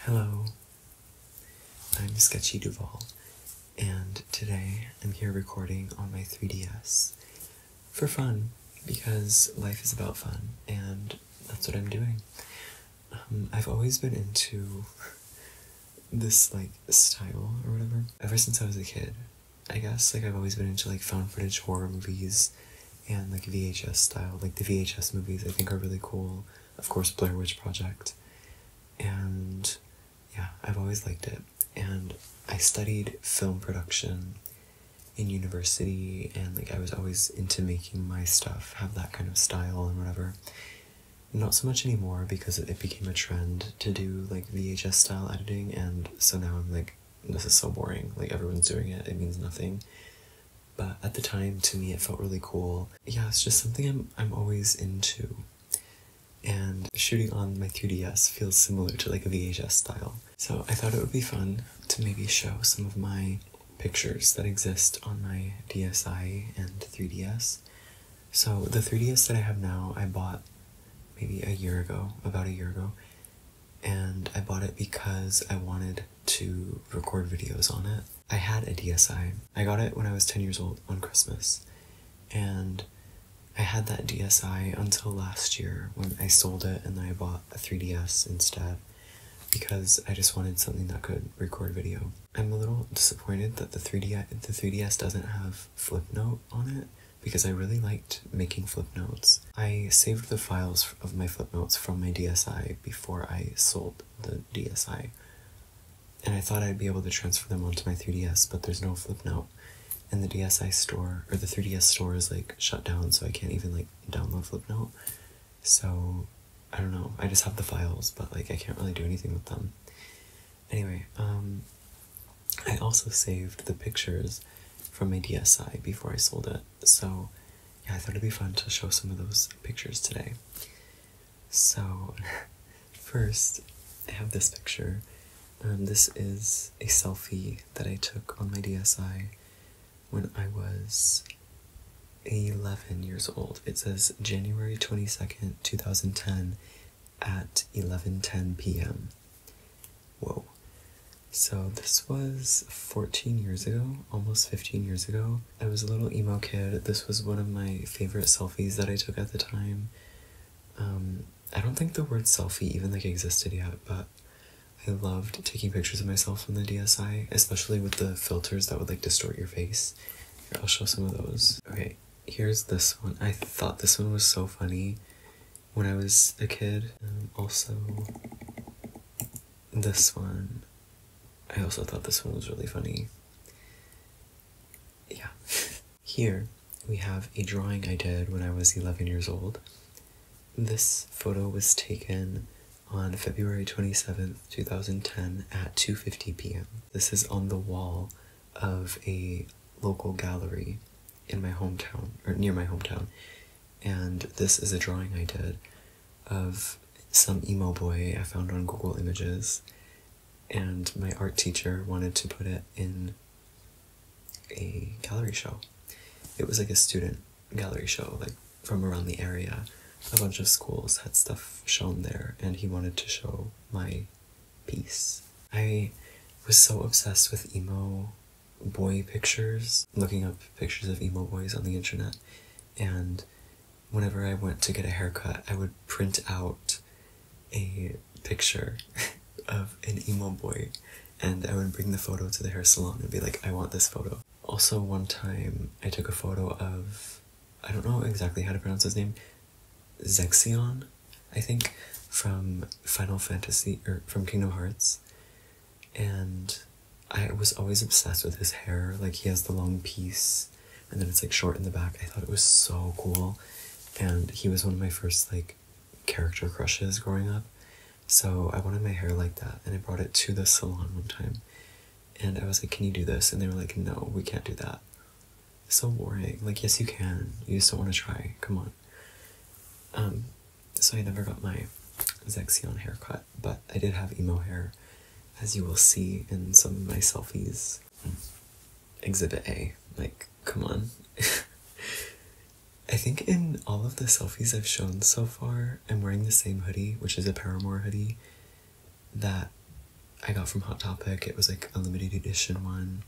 Hello, I'm Sketchy Duval, and today I'm here recording on my 3DS for fun because life is about fun, and that's what I'm doing. Um, I've always been into this like style or whatever ever since I was a kid. I guess like I've always been into like found footage horror movies and like VHS style. Like the VHS movies I think are really cool of course, Blair Witch Project. And yeah, I've always liked it. And I studied film production in university, and like I was always into making my stuff have that kind of style and whatever. Not so much anymore because it became a trend to do like VHS style editing, and so now I'm like, this is so boring. Like, everyone's doing it, it means nothing but at the time to me it felt really cool yeah it's just something i'm, I'm always into and shooting on my 3ds feels similar to like a vhs style so i thought it would be fun to maybe show some of my pictures that exist on my dsi and 3ds so the 3ds that i have now i bought maybe a year ago about a year ago and i bought it because i wanted to record videos on it. I had a DSi. I got it when I was 10 years old on Christmas, and I had that DSi until last year when I sold it and I bought a 3DS instead because I just wanted something that could record video. I'm a little disappointed that the 3D the 3DS doesn't have Flipnote on it because I really liked making Flipnotes. I saved the files of my Flipnotes from my DSi before I sold the DSi, and I thought I'd be able to transfer them onto my 3DS, but there's no Flipnote, and the DSi store or the 3DS store is like shut down, so I can't even like download Flipnote. So I don't know. I just have the files, but like I can't really do anything with them. Anyway, um, I also saved the pictures from my DSi before I sold it, so yeah, I thought it'd be fun to show some of those pictures today. So, first, I have this picture. Um, this is a selfie that I took on my DSI when I was 11 years old. It says January 22nd, 2010 at 11:10 p.m. Whoa. So this was 14 years ago, almost 15 years ago, I was a little emo kid. This was one of my favorite selfies that I took at the time. Um, I don't think the word selfie even like existed yet, but I loved taking pictures of myself on the DSI, especially with the filters that would like distort your face. I'll show some of those. Okay, here's this one. I thought this one was so funny when I was a kid. Um, also, this one. I also thought this one was really funny. Yeah. Here we have a drawing I did when I was 11 years old. This photo was taken on February 27th, 2010 at 2:50 p.m. This is on the wall of a local gallery in my hometown or near my hometown. And this is a drawing I did of some emo boy I found on Google Images, and my art teacher wanted to put it in a gallery show. It was like a student gallery show, like from around the area. A bunch of schools had stuff shown there, and he wanted to show my piece. I was so obsessed with emo boy pictures, looking up pictures of emo boys on the internet, and whenever I went to get a haircut, I would print out a picture of an emo boy and I would bring the photo to the hair salon and be like, I want this photo. Also, one time I took a photo of, I don't know exactly how to pronounce his name, Zexion, I think, from Final Fantasy, or from Kingdom Hearts. And I was always obsessed with his hair. Like, he has the long piece, and then it's like short in the back. I thought it was so cool. And he was one of my first, like, character crushes growing up. So I wanted my hair like that, and I brought it to the salon one time. And I was like, Can you do this? And they were like, No, we can't do that. so boring. Like, yes, you can. You just don't want to try. Come on. Um, so I never got my Zexion haircut but I did have emo hair, as you will see in some of my selfies. Exhibit A, like, come on. I think in all of the selfies I've shown so far, I'm wearing the same hoodie, which is a Paramore hoodie that I got from Hot Topic. It was like a limited edition one.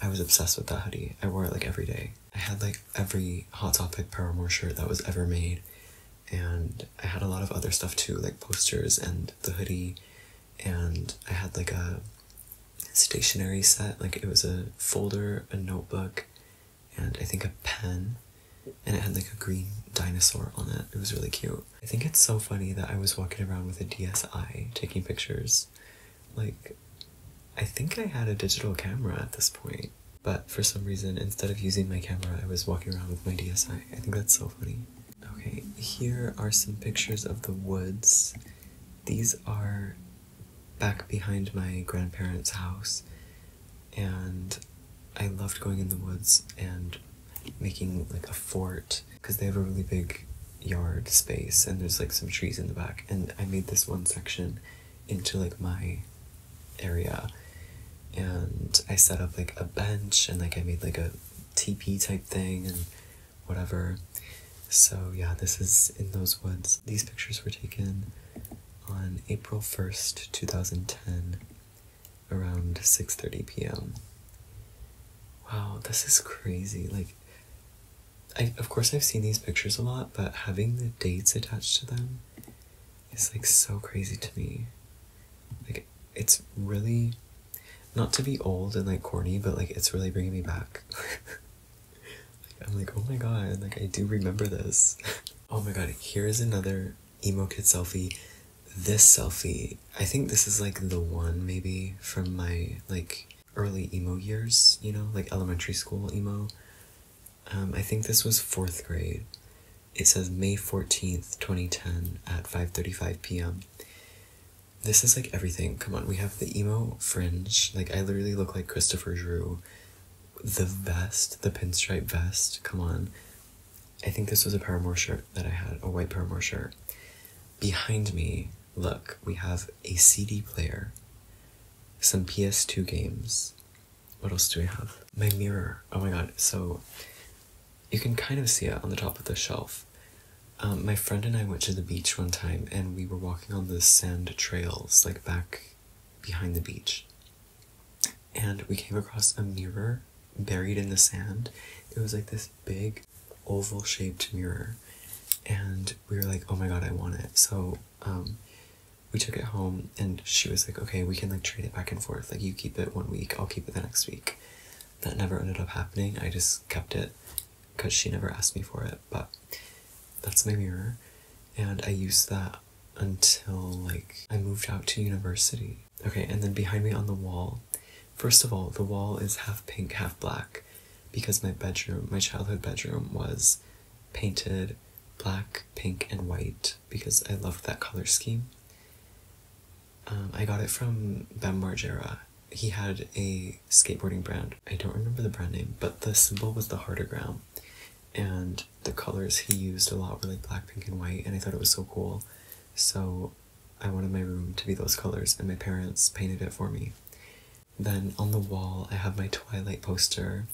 I was obsessed with that hoodie. I wore it like every day. I had like every Hot Topic Paramore shirt that was ever made and I had a lot of other stuff too, like posters and the hoodie, and I had like a stationery set, like it was a folder, a notebook, and I think a pen, and it had like a green dinosaur on it. It was really cute. I think it's so funny that I was walking around with a DSI taking pictures. Like, I think I had a digital camera at this point. But for some reason, instead of using my camera, I was walking around with my DSi. I think that's so funny. Okay, here are some pictures of the woods. These are back behind my grandparents' house, and I loved going in the woods and making like a fort because they have a really big yard space and there's like some trees in the back and I made this one section into like my area and I set up like a bench and like I made like a teepee type thing and whatever. So yeah, this is in those woods. These pictures were taken on April 1st, 2010 around 6:30 p.m. Wow, this is crazy. Like I of course I've seen these pictures a lot, but having the dates attached to them it's like so crazy to me. Like it's really not to be old and like corny, but like it's really bringing me back. like, I'm like, oh my god, like I do remember this. oh my god, here is another emo kid selfie. This selfie, I think this is like the one maybe from my like early emo years, you know, like elementary school emo. Um, I think this was fourth grade, it says May 14th, 2010 at 5:35 p.m. This is like everything. Come on, we have the emo fringe. Like I literally look like Christopher Drew. The vest, the pinstripe vest. Come on. I think this was a Paramore shirt that I had, a white Paramore shirt. Behind me, look, we have a CD player, some PS2 games, what else do we have? My mirror. Oh my god. So you can kind of see it on the top of the shelf. Um, my friend and I went to the beach one time and we were walking on the sand trails, like back behind the beach. And we came across a mirror buried in the sand. It was like this big oval shaped mirror. And we were like, oh my god, I want it. So um, we took it home and she was like, okay, we can like trade it back and forth. Like you keep it one week, I'll keep it the next week. That never ended up happening. I just kept it because she never asked me for it. But that's my mirror, and I used that until like I moved out to university. Okay, and then behind me on the wall, first of all, the wall is half pink, half black, because my bedroom, my childhood bedroom, was painted black, pink, and white because I love that color scheme. Um, I got it from Ben Margera. He had a skateboarding brand. I don't remember the brand name, but the symbol was the heartogram. And the colors he used a lot were like black, pink, and white, and I thought it was so cool. So I wanted my room to be those colors, and my parents painted it for me. Then on the wall, I have my Twilight poster.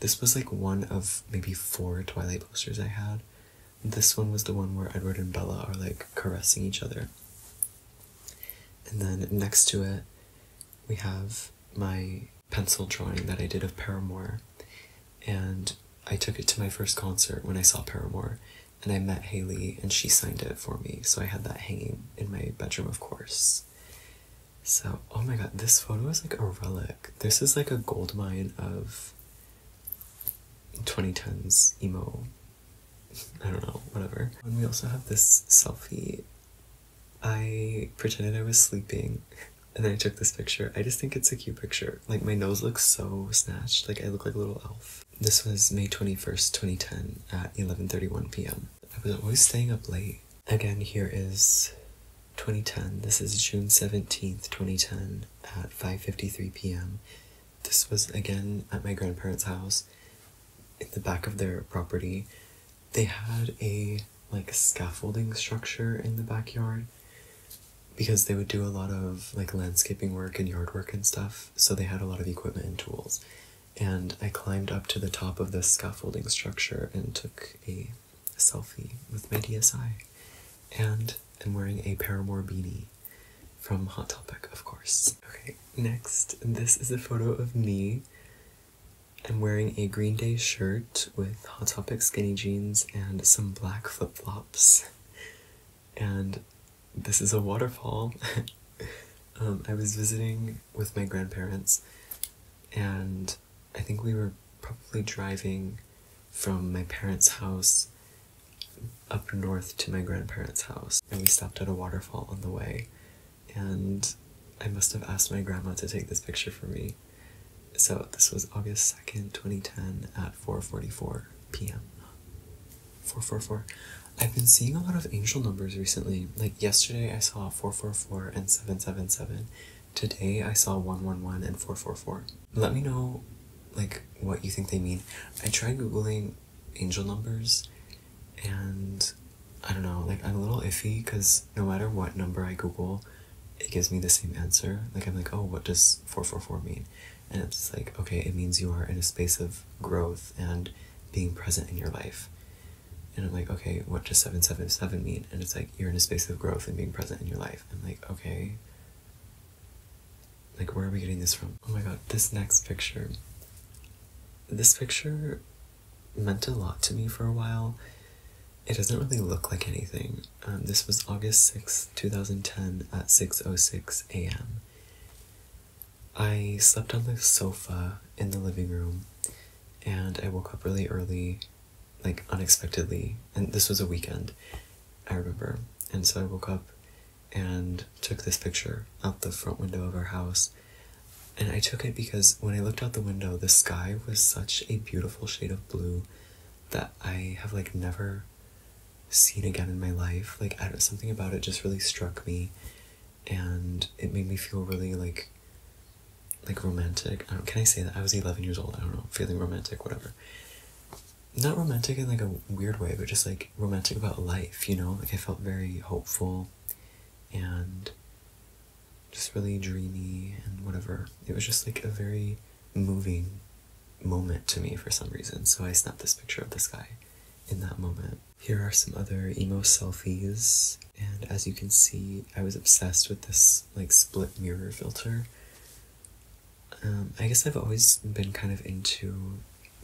This was like one of maybe four Twilight posters I had. This one was the one where Edward and Bella are like caressing each other. And then next to it, we have my pencil drawing that I did of Paramore. And I took it to my first concert when I saw Paramore. And I met Haley and she signed it for me. So I had that hanging in my bedroom, of course. So, oh my god, this photo is like a relic. This is like a gold mine of 2010s emo. I don't know, whatever. And we also have this selfie. I pretended I was sleeping and then I took this picture. I just think it's a cute picture. Like, my nose looks so snatched. Like, I look like a little elf. This was May 21st, 2010 at 11.31 p.m. I was always staying up late. Again, here is 2010. This is June 17th, 2010 at 5:53 p.m. This was again at my grandparents' house in the back of their property. They had a like scaffolding structure in the backyard because they would do a lot of like landscaping work and yard work and stuff, so they had a lot of equipment and tools. And I climbed up to the top of this scaffolding structure and took a a selfie with my DSI, and I'm wearing a Paramore beanie from Hot Topic, of course. Okay, next, this is a photo of me. I'm wearing a Green Day shirt with Hot Topic skinny jeans and some black flip flops. And this is a waterfall. um, I was visiting with my grandparents, and I think we were probably driving from my parents' house up north to my grandparents' house, and we stopped at a waterfall on the way. And I must have asked my grandma to take this picture for me. So this was August 2nd, 2010 at 4:44 p.m. 444. I've been seeing a lot of angel numbers recently. Like yesterday I saw 444 and 777 Today I saw 111 and 444. Let me know like what you think they mean. I tried googling angel numbers and I don't know, like I'm a little iffy cuz no matter what number I google, it gives me the same answer. Like I'm like, "Oh, what does 444 mean?" And it's like, "Okay, it means you are in a space of growth and being present in your life." And I'm like, okay, what does 777 mean? And it's like, you're in a space of growth and being present in your life. I'm like, okay, like, where are we getting this from? Oh my god, this next picture. This picture meant a lot to me for a while. It doesn't really look like anything. Um, this was August 6, 2010 at 6.06 a.m. I slept on the sofa in the living room and I woke up really early like unexpectedly, and this was a weekend, I remember. And so I woke up and took this picture out the front window of our house. And I took it because when I looked out the window, the sky was such a beautiful shade of blue that I have like never seen again in my life. Like I don't, something about it just really struck me, and it made me feel really like like romantic. can I say that I was eleven years old? I don't know, feeling romantic, whatever not romantic in like a weird way, but just like romantic about life, you know? Like I felt very hopeful and just really dreamy and whatever. It was just like a very moving moment to me for some reason. So I snapped this picture of this guy in that moment. Here are some other emo selfies. And as you can see, I was obsessed with this like split mirror filter. Um, I guess I've always been kind of into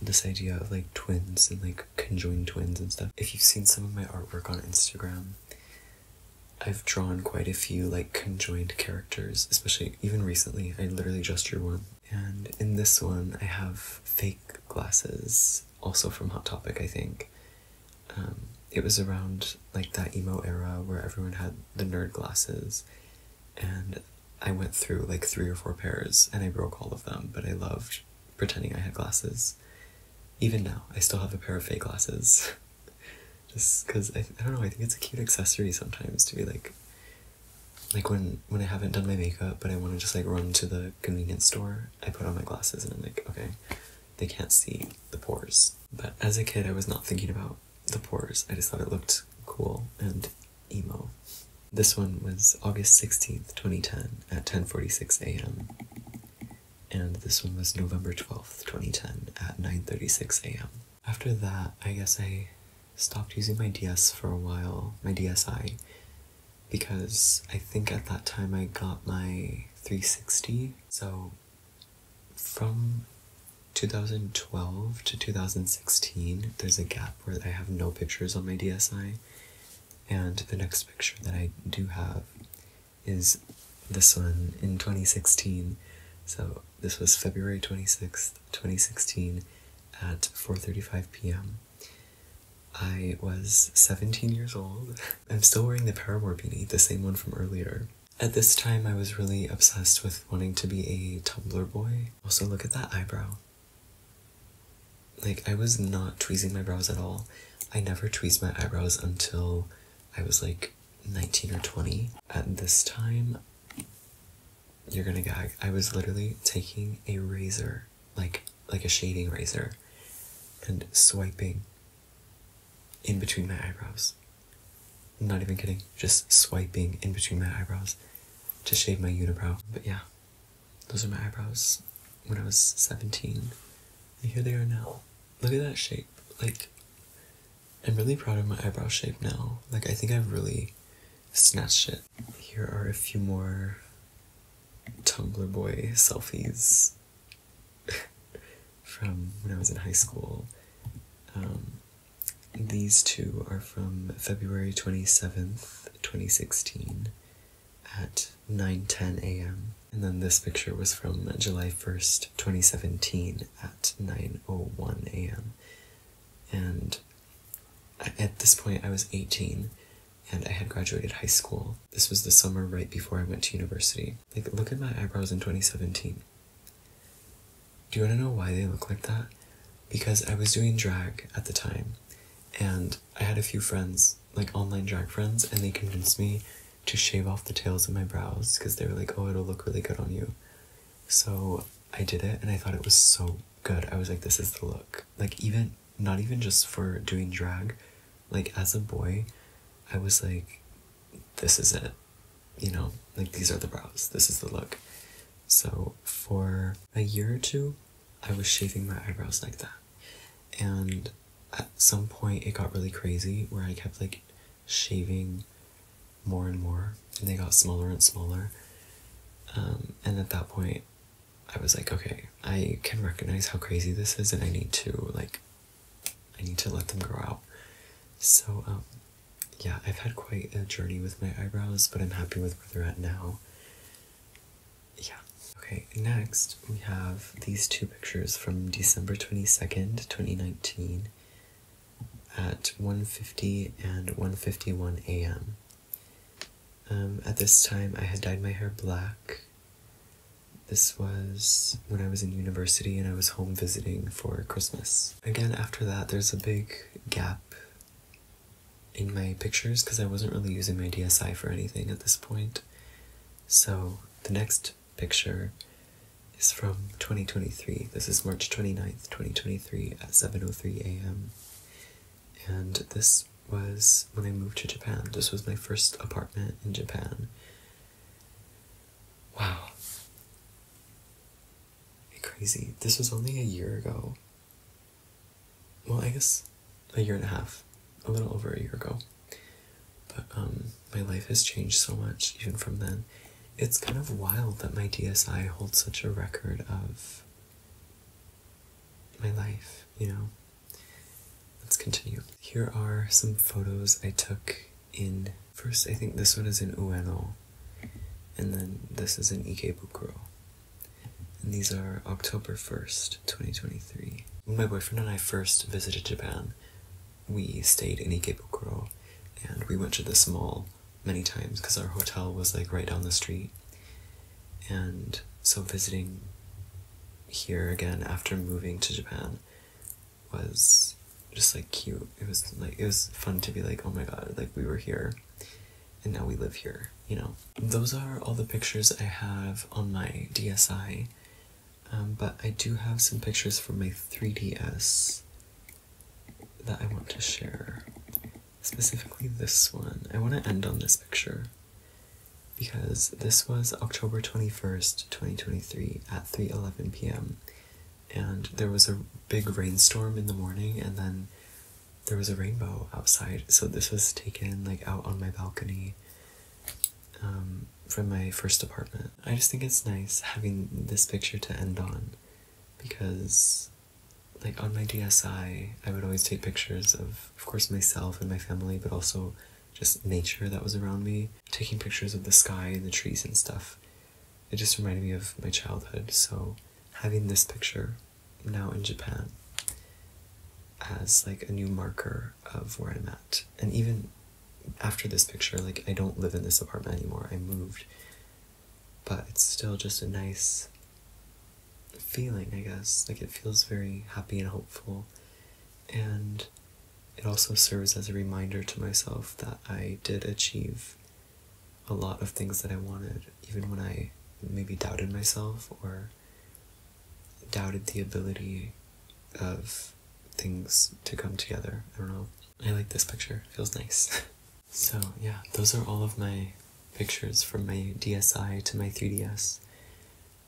this idea of like twins and like conjoined twins and stuff. If you've seen some of my artwork on Instagram, I've drawn quite a few like conjoined characters, especially even recently. I literally just drew one. And in this one, I have fake glasses, also from Hot Topic, I think. Um, it was around like that emo era where everyone had the nerd glasses and I went through like three or four pairs and I broke all of them, but I loved pretending I had glasses. Even now, I still have a pair of fake glasses. Just because I, I don't know, I think it's a cute accessory sometimes to be like, like when, when I haven't done my makeup but I want to just like run to the convenience store, I put on my glasses and I'm like, okay, they can't see the pores. But as a kid, I was not thinking about the pores. I just thought it looked cool and emo. This one was August 16th, 2010 at 10:46 a.m. And this one was November 12th, 2010 at 9:36 a.m. After that, I guess I stopped using my DS for a while, my DSi, because I think at that time I got my 360. So from 2012 to 2016, there's a gap where I have no pictures on my DSI, and the next picture that I do have is this one in 2016. So this was February 26th, 2016 at 4:35 p.m. I was 17 years old. I'm still wearing the Paramore beanie, the same one from earlier. At this time, I was really obsessed with wanting to be a Tumblr boy. Also, look at that eyebrow. Like, I was not tweezing my brows at all. I never tweezed my eyebrows until I was like 19 or 20. At this time, you're gonna gag. I was literally taking a razor, like like a shaving razor, and swiping in between my eyebrows not even kidding. Just swiping in between my eyebrows to shave my unibrow. But yeah, those are my eyebrows when I was 17. And here they are now. Look at that shape. Like, I'm really proud of my eyebrow shape now. Like, I think I've really snatched it. Here are a few more Tumblr boy selfies from when I was in high school. Um, these two are from February 27th, 2016 at 9:10 a.m. And then this picture was from July 1st, 2017 at 9:01 a.m. And at this point I was 18 and I had graduated high school. This was the summer right before I went to university. Like look at my eyebrows in 2017. Do you want to know why they look like that? Because I was doing drag at the time, and I had a few friends, like online drag friends, and they convinced me to shave off the tails of my brows because they were like, oh, it'll look really good on you. So I did it, and I thought it was so good. I was like, this is the look. Like, even not even just for doing drag, like, as a boy, I was like, this is it you know, like these are the brows, this is the look. So for a year or two, I was shaving my eyebrows like that. And at some point, it got really crazy where I kept like shaving more and more, and they got smaller and smaller. Um, and at that point, I was like, okay, I can recognize how crazy this is, and I need to like I need to let them grow out. So, um, yeah, I've had quite a journey with my eyebrows, but I'm happy with where they're at now. Yeah. Okay, next we have these two pictures from December 22nd, 2019 at 1.50 and 1.51 a.m. Um, at this time, I had dyed my hair black. This was when I was in university and I was home visiting for Christmas. Again, after that, there's a big gap in my pictures because I wasn't really using my DSI for anything at this point. So the next picture is from 2023. This is March 29th, 2023 at 7.03 a.m. And this was when I moved to Japan. This was my first apartment in Japan. Wow. Crazy. This was only a year ago. Well, I guess a year and a half. A little over a year ago. But um, my life has changed so much even from then. It's kind of wild that my DSI holds such a record of my life, you know? Let's continue. Here are some photos I took in First, I think this one is in Ueno, and then this is in Ikebukuro. And these are October 1st, 2023. When my boyfriend and I first visited Japan, we stayed in Ikebukuro, and we went to this mall many times because our hotel was like right down the street. And so visiting here again after moving to Japan was just like cute. It was like it was fun to be like, oh my god, like we were here and now we live here, you know. Those are all the pictures I have on my DSi. Um, but I do have some pictures from my 3DS that I want to share. Specifically this one. I want to end on this picture because this was October 21st, 2023 at 3:11 p.m and there was a big rainstorm in the morning and then there was a rainbow outside so this was taken like out on my balcony um, from my first apartment i just think it's nice having this picture to end on because like on my dsi i would always take pictures of of course myself and my family but also just nature that was around me taking pictures of the sky the trees and stuff it just reminded me of my childhood. So having this picture now in Japan as like a new marker of where I'm at. And even after this picture, like I don't live in this apartment anymore. I moved. But it's still just a nice feeling, I guess. Like it feels very happy and hopeful. And it also serves as a reminder to myself that I did achieve a lot of things that I wanted, even when I maybe doubted myself or doubted the ability of things to come together. I don't know. I like this picture, feels nice. so, yeah, those are all of my pictures from my DSI to my 3DS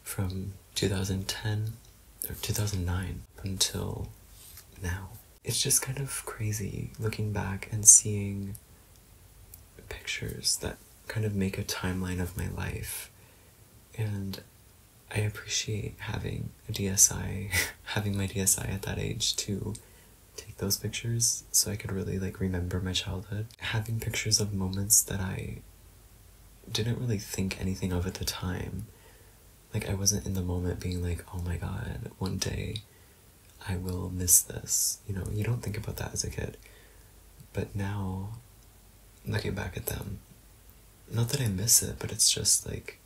from 2010 or 2009 until now. It's just kind of crazy looking back and seeing pictures that kind of make a timeline of my life. And I appreciate having a DSI, having my DSI at that age to take those pictures so I could really like remember my childhood. Having pictures of moments that I didn't really think anything of at the time like, I wasn't in the moment being like, oh my god, one day I will miss this. You know, you don't think about that as a kid. But now, looking back at them, not that I miss it, but it's just like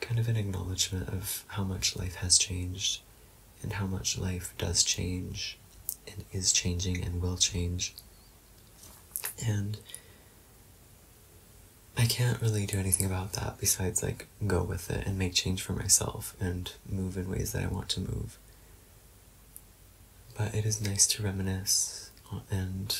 kind of an acknowledgement of how much life has changed and how much life does change and is changing and will change. And I can't really do anything about that besides like go with it and make change for myself and move in ways that I want to move. But it is nice to reminisce and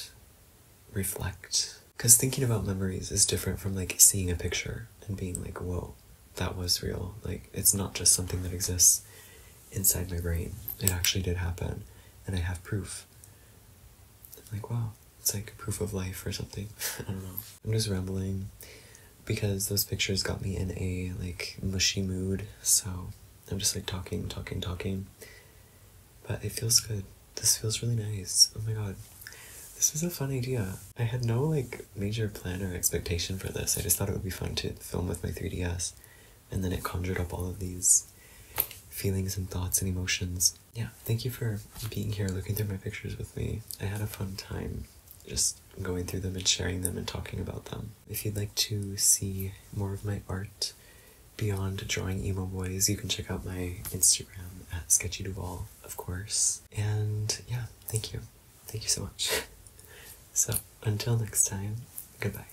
reflect. Because thinking about memories is different from like seeing a picture and being like, whoa, that was real. Like, it's not just something that exists inside my brain. It actually did happen, and I have proof like, wow, it's like proof of life or something. I don't know. I'm just rambling because those pictures got me in a like mushy mood, so I'm just like talking, talking, talking. But it feels good. This feels really nice. Oh my god. This was a fun idea. I had no like major plan or expectation for this. I just thought it would be fun to film with my 3DS. And then it conjured up all of these feelings and thoughts and emotions yeah, thank you for being here, looking through my pictures with me. I had a fun time just going through them and sharing them and talking about them. If you'd like to see more of my art beyond drawing emo boys, you can check out my Instagram at Sketchy Duval, of course. And yeah, thank you. Thank you so much. so until next time, goodbye.